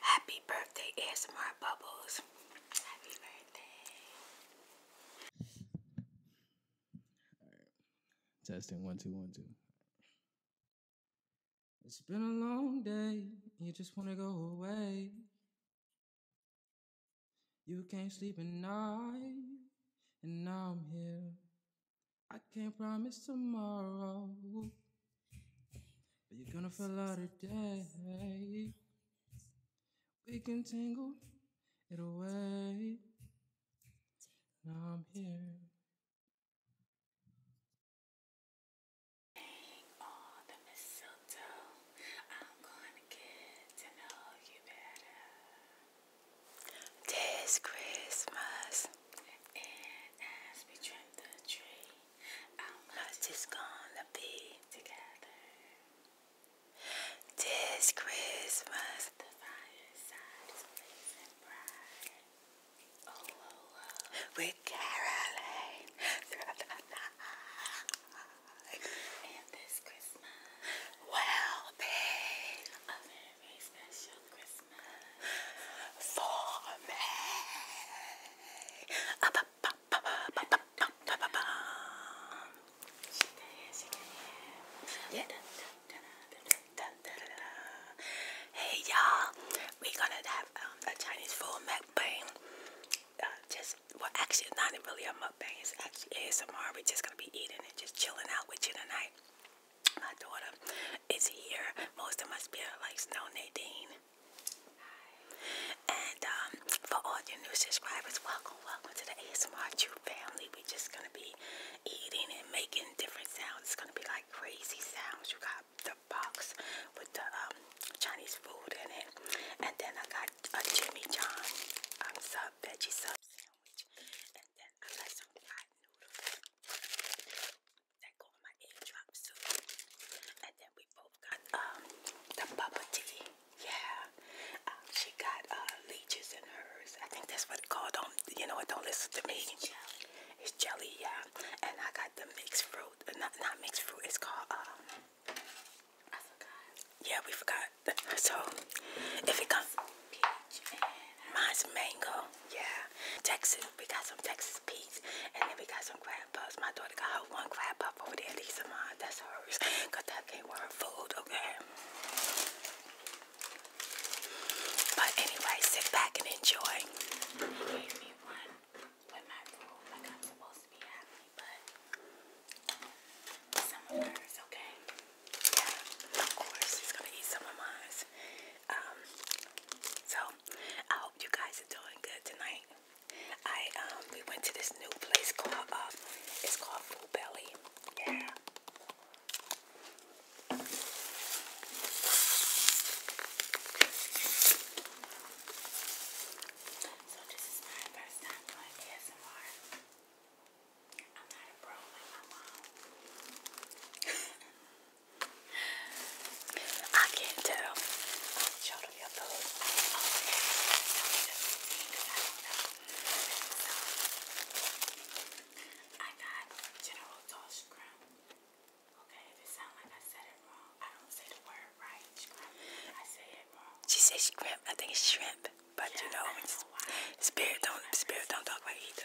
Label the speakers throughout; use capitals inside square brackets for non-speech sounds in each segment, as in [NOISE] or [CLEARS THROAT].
Speaker 1: Happy birthday, ASMR Bubbles. Happy birthday. Testing one, two, one, two. It's been a long day. You just want to go away. You can't sleep at night. And now I'm here. I can't promise tomorrow. But you're gonna feel out today. We can tangle it away. Now I'm here. This Christmas, and as we trim the tree, how much gonna be together. This Christmas, the fireside is blazing bright. Oh, oh, oh. With caroling through the night. And this Christmas will be a very special for me. Uh, ba, ba, ba, ba, ba, ba, ba, ba, ba. Yeah. Hey y'all, we're gonna have um, a Chinese food mukbang. Uh, just well, actually, not really a mukbang. It's actually ASMR. We're just gonna be eating and just chilling out with you tonight. My daughter, is here. Most of my spirit likes know Nadine. And um, for all your new subscribers, welcome, welcome to the ASMR True family. We're just gonna be eating and making different sounds. It's gonna be like crazy sounds. You got the box with the um, Chinese food in it, and then I got a Jimmy John um, sub veggie sub sandwich, and then I got some fried noodles that go on my eardrop soon. And then we both got um the bubble tea. Yeah. Um, she got uh, leeches in hers. I think that's what it's called. Don't you know it don't listen to me. It's jelly. It's jelly, yeah. And I got the mixed fruit. Uh, not not mixed fruit, it's called um I forgot. Yeah, we forgot. So if it comes peach and mine's mango. Yeah. Texas. We got some Texas peas. And then we got some crab puffs. My daughter got her one crab puff over there. These are mine. That's hers. Because that came with food. Okay. But anyway, sit back and enjoy. of course. She's gonna eat some of mine. Um, so I hope you guys are doing good tonight. I um we went to this new place called um, it's called Full Belly. Yeah. So this is my first time doing ASMR. I'm not a pro like my mom. [LAUGHS] I can't tell. Show them your food. Okay. I got General Toss Scrum. Okay, if it sounds like I said it wrong, I don't say the word right. Scrum. I say it wrong. She says shrimp. I think it's shrimp. But you know, spirit don't spirit don't talk about either,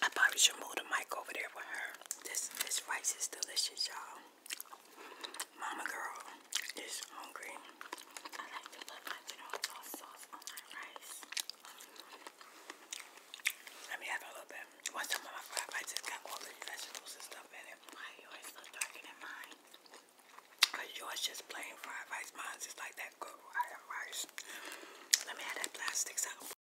Speaker 1: I probably should move the mic over there for her. This this rice is delicious, y'all. Mama girl is hungry. I like to put my tomato sauce on my rice. Let me have a little bit. One time my fried rice has got all the vegetables stuff in it. yours so darker than mine? Cause yours just plain fried rice. Mine's just like that good fried rice. Let me have that plastic so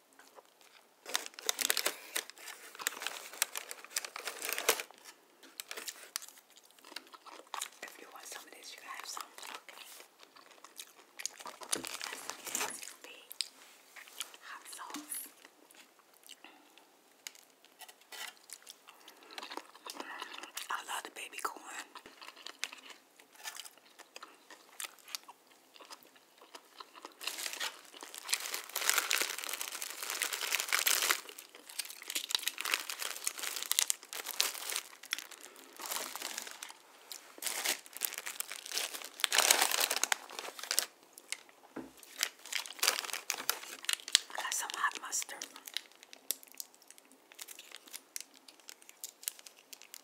Speaker 1: If you want some of this, you can have some. Okay. This will be hot sauce. I love the baby corn. Got some hot mustard.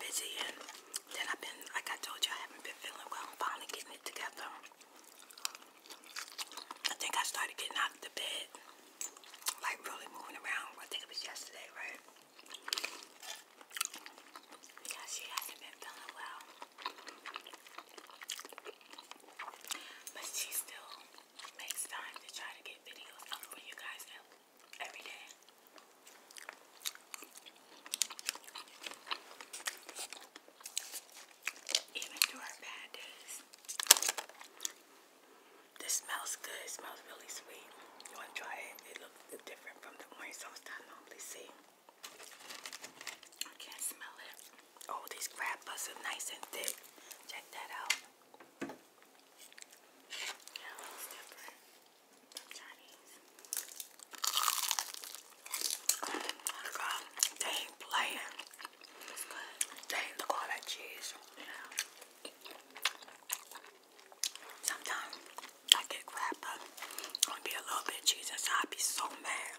Speaker 1: busy and then I've been, like I told you, I haven't been feeling well. I'm finally getting it together. I think I started getting out of the bed, like really moving around. I think it was yesterday, right? Yeah, she hasn't been feeling well. But she still makes time to try to get videos up for you guys at every day. Even through bad days. This smells good. It smells really sweet. You want to try it? It looks different from the orange sauce that I normally see. I can't smell it. Oh, these crab butts are nice and thick. Check that out. Yeah, looks different. Oh my god, they ain't playing. It's good. cheese. Sometimes I get crap, gonna be a little bit Jesus. I'll be so mad.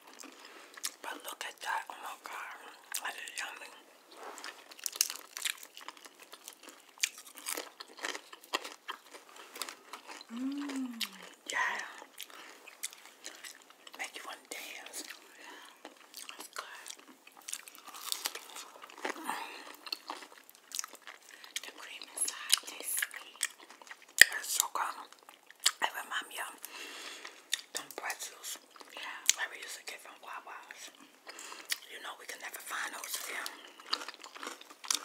Speaker 1: But look at that. Oh my god. That is yummy. Mmm, yeah. Make you want to dance. Yeah. good. The cream inside tastes sweet. so good. It reminds me of them pretzels. Yeah. Like we used to get from Wawa's. You know, we can never find those here.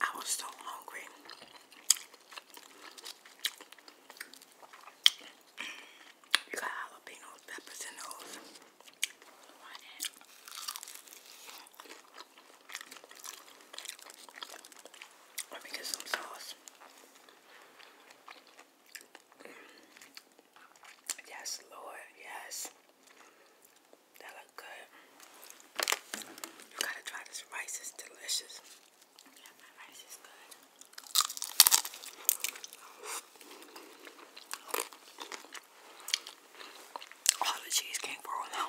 Speaker 1: I was so hungry. You got jalapenos, peppers in those. Let me get some sauce. Yes, Lord, yes. That look good. You gotta try this rice, it's delicious. Yeah, my rice is good. All the cheese came for now.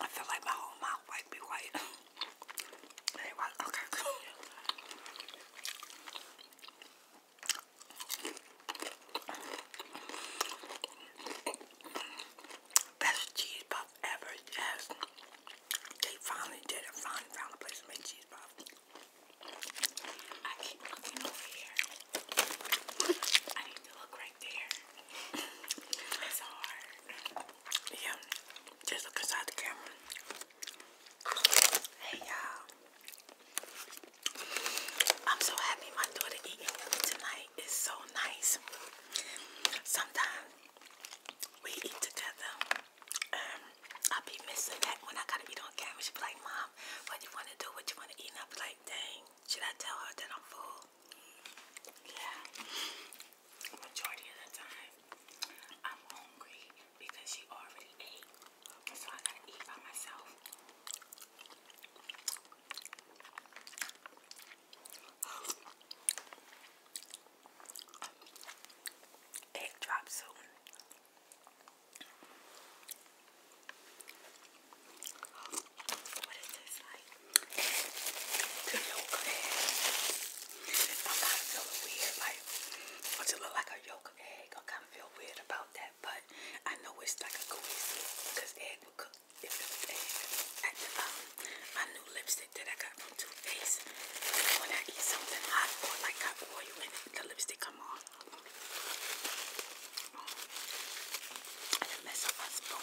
Speaker 1: I feel like my whole mouth might be white. [LAUGHS] They Best cheese puff ever, yes. They finally did it. Finally found a place to make cheese puff. I keep looking over here. I need to look right there. It's hard. Yeah, just look inside the camera. Hey y'all. I'm so happy my daughter eating tonight. is so nice. Sometimes we eat together. Um, I'll be missing that when I gotta be on camera. she be like, Mom, what you wanna do? What you wanna eat? And I'll like, dang, should I tell her that I'm full? Yeah. Majority of the time I'm hungry because she already ate. So I gotta eat by myself. Egg drop soon. What is this like? I'm kind of feeling weird. Like, what's it look like? a egg. I kind of feel weird about that, but I know it's like a cohesive because egg will cook if it was egg. my new lipstick that I got from Too Faced, when I eat something hot or like hot oil in it, the lipstick come on. I did up my spoon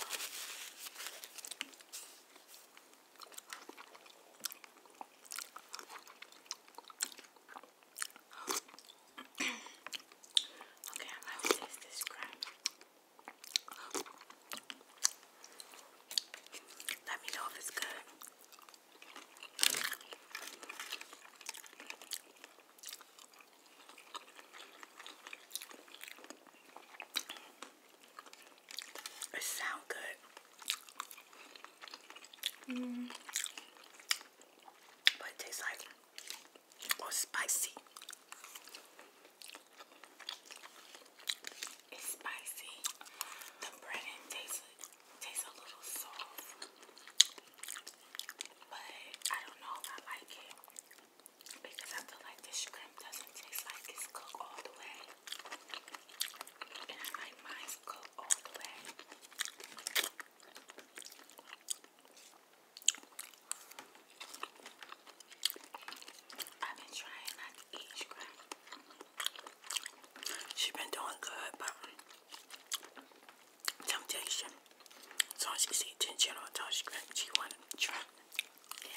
Speaker 1: okay, i Let me know if it's good. It sound good. Mm. But it tastes like oh, spicy. It's spicy. The breading tastes tastes a little soft, but I don't know I like it because I feel like this shrimp doesn't taste like it's cooked all the way. She's been doing good, but temptation. Um, so she's eating general toast cream. She wanted to try. Yeah.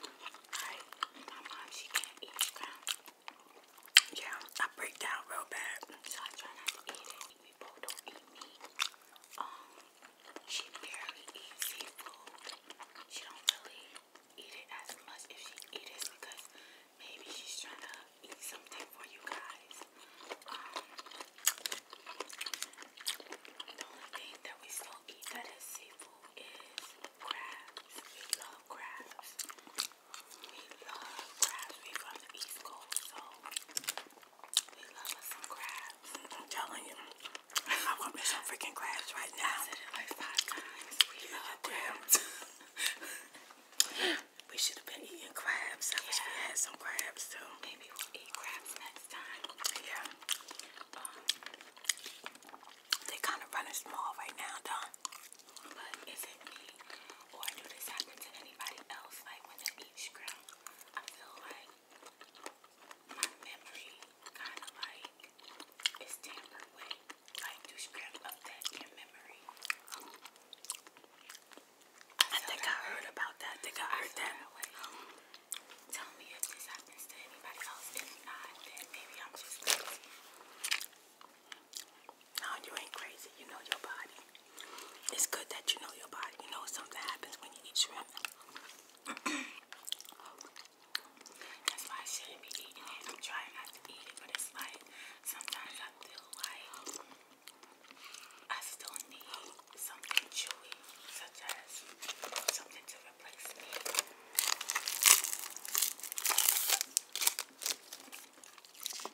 Speaker 1: Right. My mom, she can't eat scrap. Yeah, I break down real bad. So I try not to eat it. People don't eat meat. Um, she barely eats seafood. She don't really eat it as much. If she eat it, because maybe she's trying to eat something for you guys. Um, the only thing that we still eat that is seafood is crabs. We love crabs. We from the East Coast, so we love some crabs. I'm telling you, [LAUGHS] I want me some freaking crabs right now. [LAUGHS] We should have been eating crabs. I yeah. wish had some crabs too. Maybe we'll eat crabs next time. Yeah. Um, they kind of running small right now, Don. But is it me or do this happen to anybody else? Like when they eat shrimp, I feel like my memory kind of like is tampered Like do shrimp affect your memory? I, think I heard about that. think I heard that. Tell me if this happens to anybody else. If not, then maybe I'm just now you ain't crazy. You know your body. It's good that you know your body. You know something happens when you eat shrimp. [CLEARS THROAT] That's why I shouldn't be eating it. I'm trying not to eat it, but it's like sometimes I feel like I still need something chewy, such as something to replace me.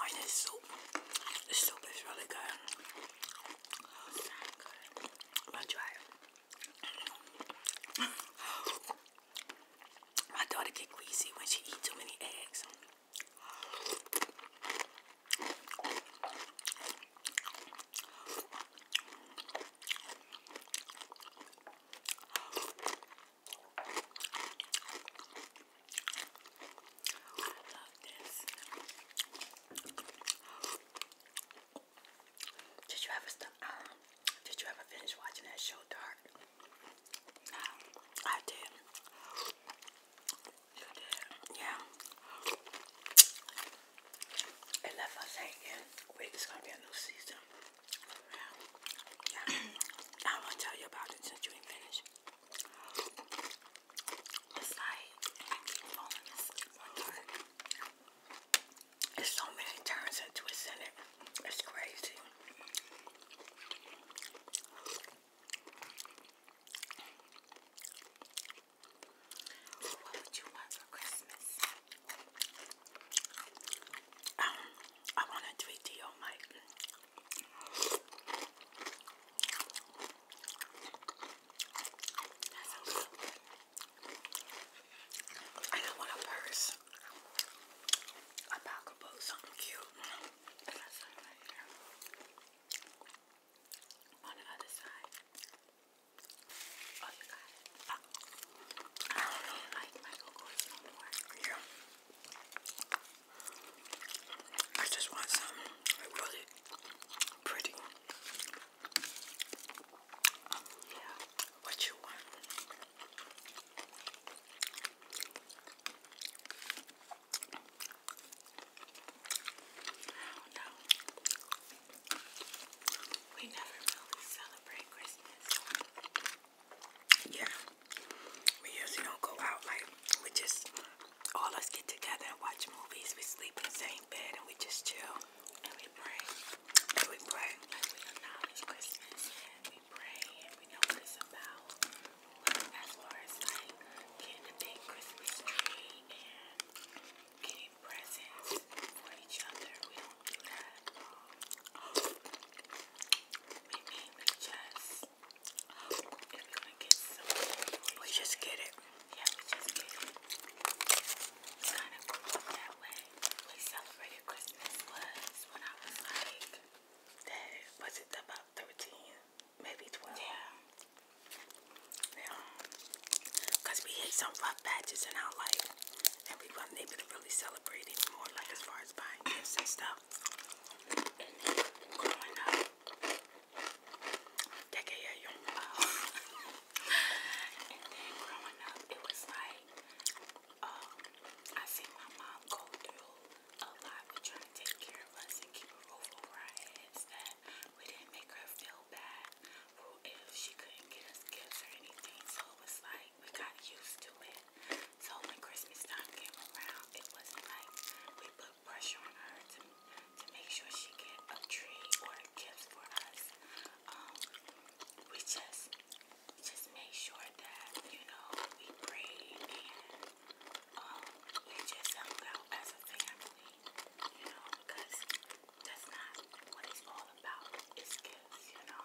Speaker 1: I'm this soup. This soup is really good. I'll it. [LAUGHS] My daughter get queasy when she eat too many eggs. Did you ever stop? Uh, did you ever finish watching that show, Dark? No, I did. Yeah. It left us hanging. Wait, it's gonna be a new season. Yeah. [CLEARS THROAT] I wanna tell you about it since you ain't finished. It's like There's so many turns into a senate. It's crazy. What would you want for Christmas? Um, I want a 3D on my that sounds good. want a purse. A pocketbook, something cute on the other side. Oh, you got it. Oh. I don't really like Michael Kors no more. I just want something really pretty. Yeah. What you want? We Yeah. We usually don't go out like we just all us get together and watch movies. We sleep in the same bed and we just chill. And we pray. And we pray. Like we acknowledge Christmas and we pray and we know what it's about. as far as like getting a big Christmas tree getting presents for each other. We don't do that. We mean we just if we're gonna get something. We just get it. Yeah, we just get it. We kind of grew that way. We celebrated Christmas was when I was like that was it about thirteen, maybe twelve. Yeah. Yeah. Cause we hit some rough patches in our life, and we were not able to really celebrate it more, like as far as buying gifts and stuff. Growing up, that gave you young love. [LAUGHS] and then growing up, it was like, um, I see my mom go through a lot with trying to take care of us and keep a roof over our heads. We didn't make her feel bad if she couldn't get us gifts or anything. So it was like we got used to it. So when Christmas time came around, it wasn't like we put pressure on her to to make sure she get a tree or a for us. Um, we just just made sure that you know we prayed and um, we just hung out as a family you know, because that's not what it's all about. It's gifts, you know.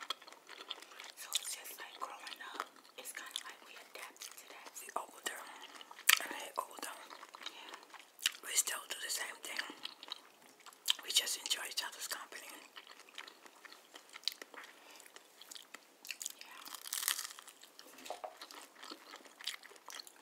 Speaker 1: So it's just like growing up. It's kind of like we adapted to that. We older, and older. We still do the same thing. We just enjoy each other's company. Yeah.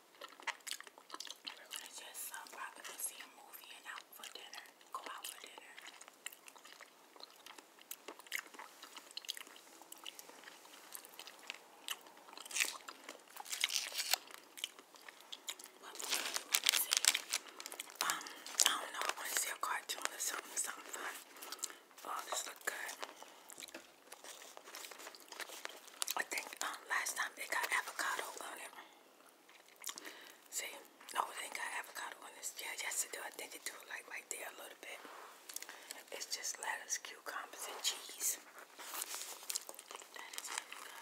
Speaker 1: We're gonna see a movie and out for dinner. Go out for dinner. Um, I don't know. I wanna see a cartoon or something, fun. Oh, this look good. I think um last time they got avocado on it. See, no, it ain't got avocado on this. Yeah, yes it do. I think it do like right there a little bit. It's just lettuce, cucumbers, and cheese. That is really good.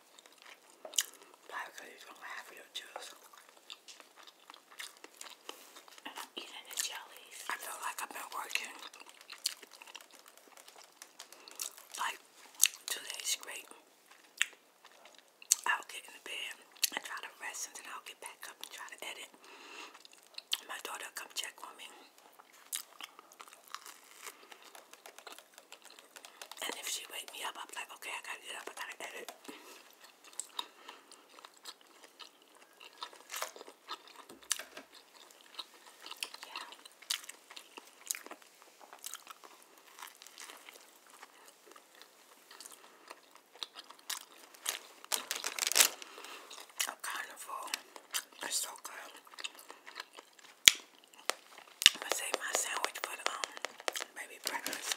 Speaker 1: Probably because he's gonna laugh your juice. And I'm eating the jellies. I feel like I've been working like two days straight. I'll get in the bed and try to rest and then I'll get back up and try to edit. My daughter come check on me. And if she wake me up, I'm like, okay, I gotta get up, I gotta edit. Yeah. A carnival is so good. I'm gonna save my sandwich for the um, baby breakfast.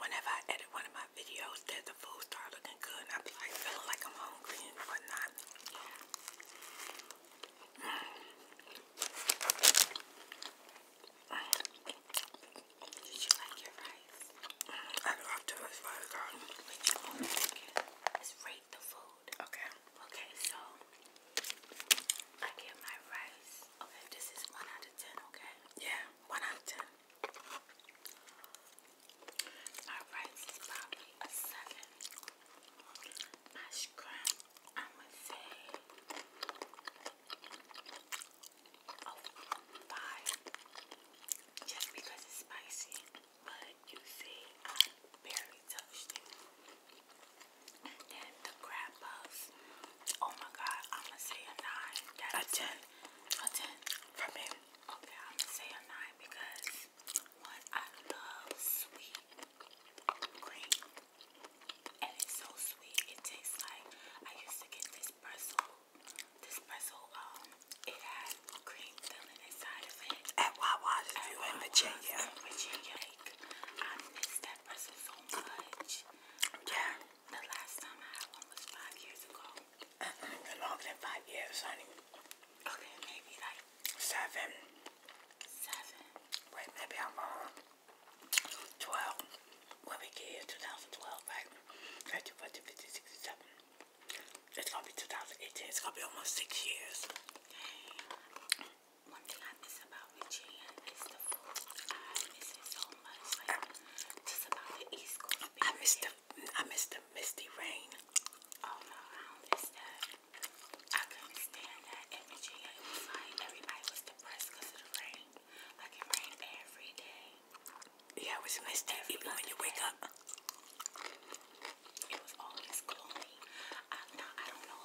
Speaker 1: whenever I edit one of my videos, that the food start looking good, I be like feeling like I'm hungry and whatnot. Did you like your rice? I love the rice, girl. Let's rate the food. Okay. Okay, so I get my rice. Okay, this is one out of ten, okay? Yeah, one out of ten. My rice is probably a seven. My scrum, I'ma say a five. Just because it's spicy. But you see, I barely touched it. Oh my god, I'm gonna say a nine. That's a ten. A ten from him. Okay, I'm gonna say a nine because one, I love sweet cream. And it's so sweet. It tastes like I used to get this pretzel. This pretzel, um, it had cream filling inside of it. At Wawa's, if you in Virginia. Virginia. Yeah. The last time I had one was five years ago. Mm-hmm. longer than five years, honey. Okay, maybe like seven. Wait, maybe I'm wrong. Uh, twelve. When we get here, 2012, right? 30, 40, 50, 67. It's gonna be 2018. It's gonna be almost six years. I miss the I miss the misty rain. Oh no, I miss that. I couldn't stand that in everybody was depressed because of Like it rained every day. Yeah, it was misty even when you wake up. It was always gloomy. I, I don't know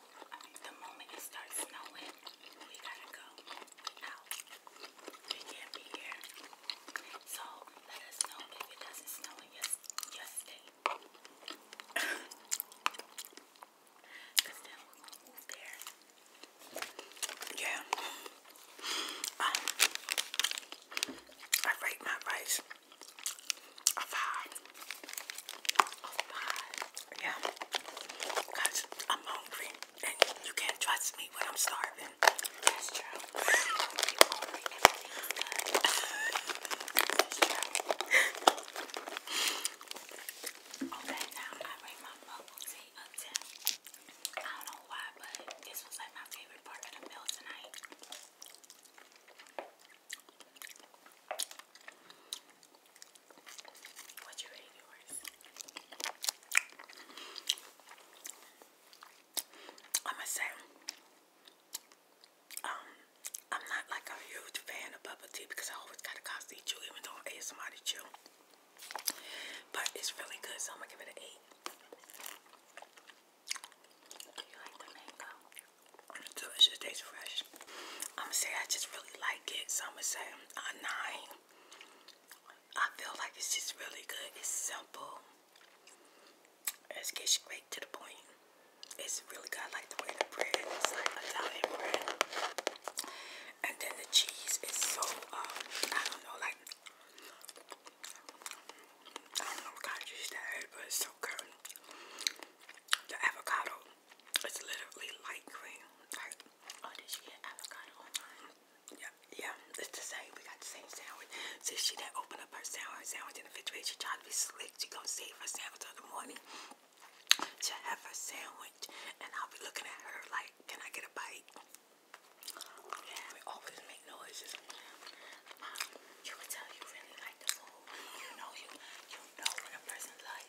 Speaker 1: The moment it starts snowing, we gotta go. out. We can't be here. So let us know if it doesn't snow in your, Cause then we're gonna move there. Yeah. Um, I rate my rice a five. Oh, yeah. Cause I'm hungry and you can't trust me when I'm starving. That's true. [SIGHS] okay, now I bring my bubble tea up to. I don't know why, but this was like my favorite part of the meal tonight. I'ma say um I'm not like a huge fan of bubble tea because I always gotta constantly chew even though I ate somebody chew. But it's really good, so I'm gonna give it an eight. So it just tastes fresh. I'ma say I just really like it, so I'ma say a nine. I feel like it's just really good. It's simple. It's gets straight to the point. It's really good. I like the way the bread It's like Italian bread. And then the cheese is so, um, I don't know, like, I don't know what kind of cheese that is, but it's so good. The avocado it's literally light green. oh, did you get avocado online? Yeah, yeah, it's the same. We got the same sandwich. Since she didn't open up her sandwich, sandwich in the refrigerator, she tried to be slick. She gonna save her sandwich till the morning to have her sandwich. And I'll be looking at her like, can I get a bite? Yeah, we always make noises. you um, can tell you really like the food. You know you, you know when a person loves Oh, Happy birthday, Jordan Wallace.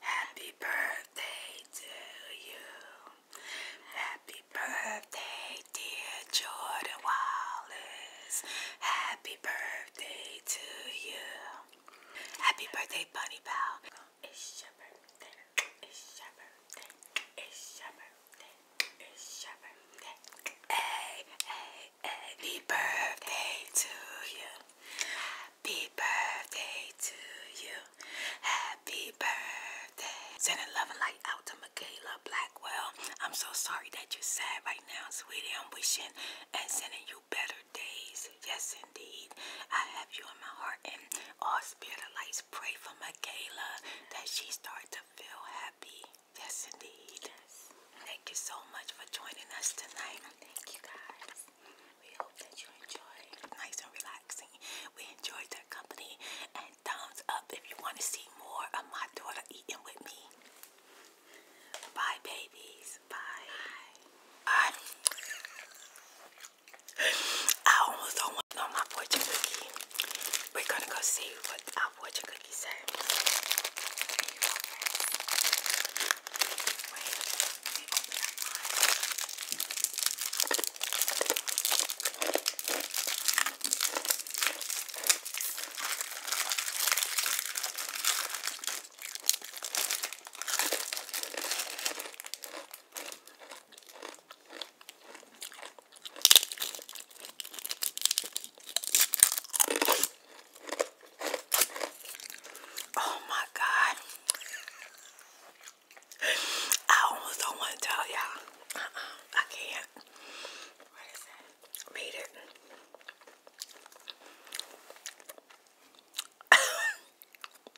Speaker 1: Happy birthday to you. Happy birthday, dear Jordan Wallace. Happy birthday to you. Happy birthday, Bunny Pal. Happy birthday to you. Happy birthday to you. Happy birthday. Sending love and light out to Michaela Blackwell. I'm so sorry that you're sad right now, sweetie. I'm wishing and sending you better days. Yes, indeed. I have you in my heart, and all spirit lights pray for Michaela that she start to feel happy. Yes, indeed. Thank you so much for joining us tonight. Thank you, guys. We hope that you enjoyed. Nice and relaxing. We enjoyed that company. And thumbs up if you want to see more of my daughter eating with me. Bye, babies. Bye. Bye. I almost don't want to know my fortune cookie. We're gonna go see what our fortune cookie says. Oh my God. I almost don't want to tell y'all. Uh-uh, I can't. What Read it. [LAUGHS]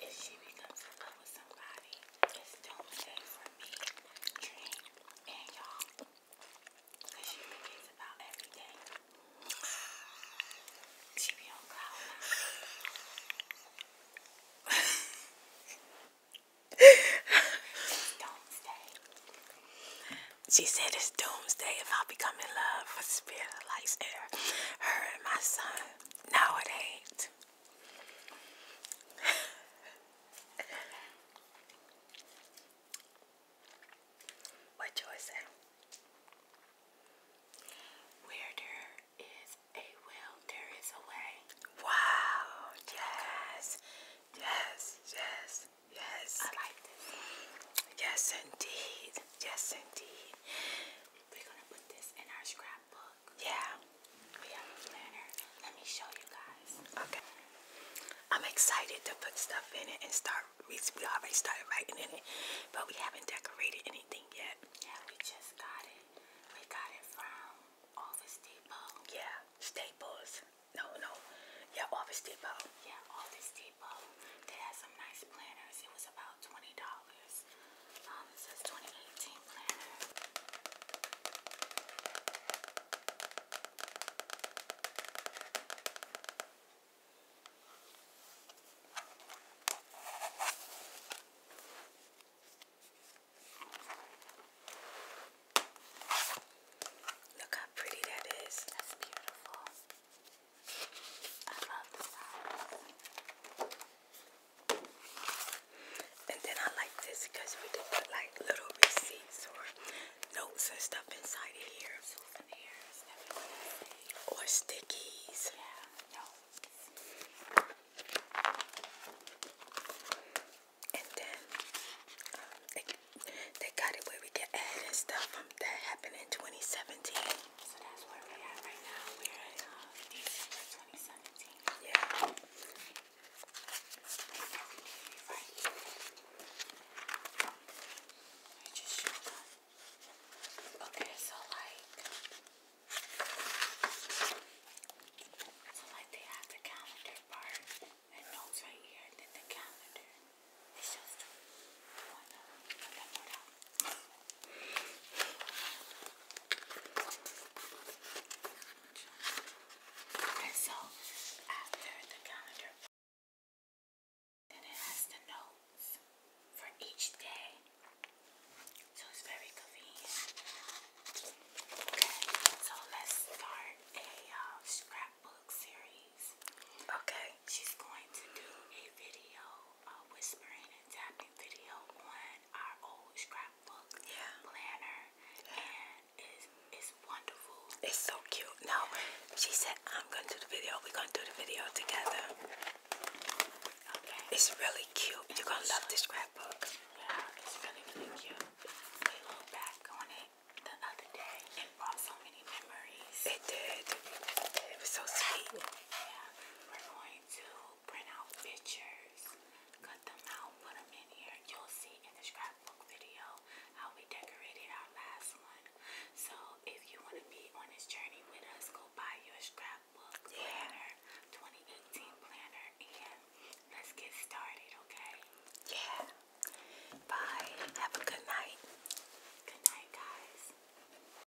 Speaker 1: if she becomes in love with somebody, it's doomsday for me, Dream, and y'all. she forgets about everything. She be on cloud nine. Doomsday. She said it's doomsday if I become in love with atmosphere likes air. Her and my son. No, it ain't. what Joy say? Where there is a will, there is a way. Wow. Yes. Yes. Yes. Yes. I like this. Yes, indeed. Yes, indeed. We're gonna put this in our scrapbook. Yeah. We have a planner. Let me show you guys. Okay. I'm excited to put stuff in it and start. We, already started writing in it, but we haven't decorated anything yet. Yeah, we just got it. We got it from Office Depot. Yeah, Staples. No, no. Yeah, Office Depot. Yeah, Office Depot. They had some nice planners. It was about $20. Um, it 2018 planner. Look how pretty that is. That's beautiful. I And then I like this because we can put like little receipts or notes and stuff inside of here. Or stickies. And then um, they, got it where we can add and stuff that happened in 2017. So that's where we're at right now. We're December uh, 2017. Yeah. Right. I just showed up. Okay, so like, so like they have the calendar part and notes right here, and the calendar. It's just one, uh, so after the calendar, then it has the notes for each day. So it's very convenient. Okay, so let's start a um, scrapbook series. Okay. She's going to do a video uh, whispering tapping video on our old scrapbook yeah. planner, and it's, it's wonderful. It's so cute. Now, she said, I'm going to do the video. We're going to do the video together. Okay. It's really cute. You're going to love this scrapbook. Yeah, it's really, really cute. We looked back on it the other day. It brought so many memories. It did. It was so sweet. Yeah, we're going to print out pictures, cut them out, put them in here. You'll see in the scrapbook video how we decorated our last one. So if you want to be on this journey with us, go buy your scrapbook planner, 2018 planner, and let's get started, okay? Yeah. Bye. Have a good night. Good night, guys.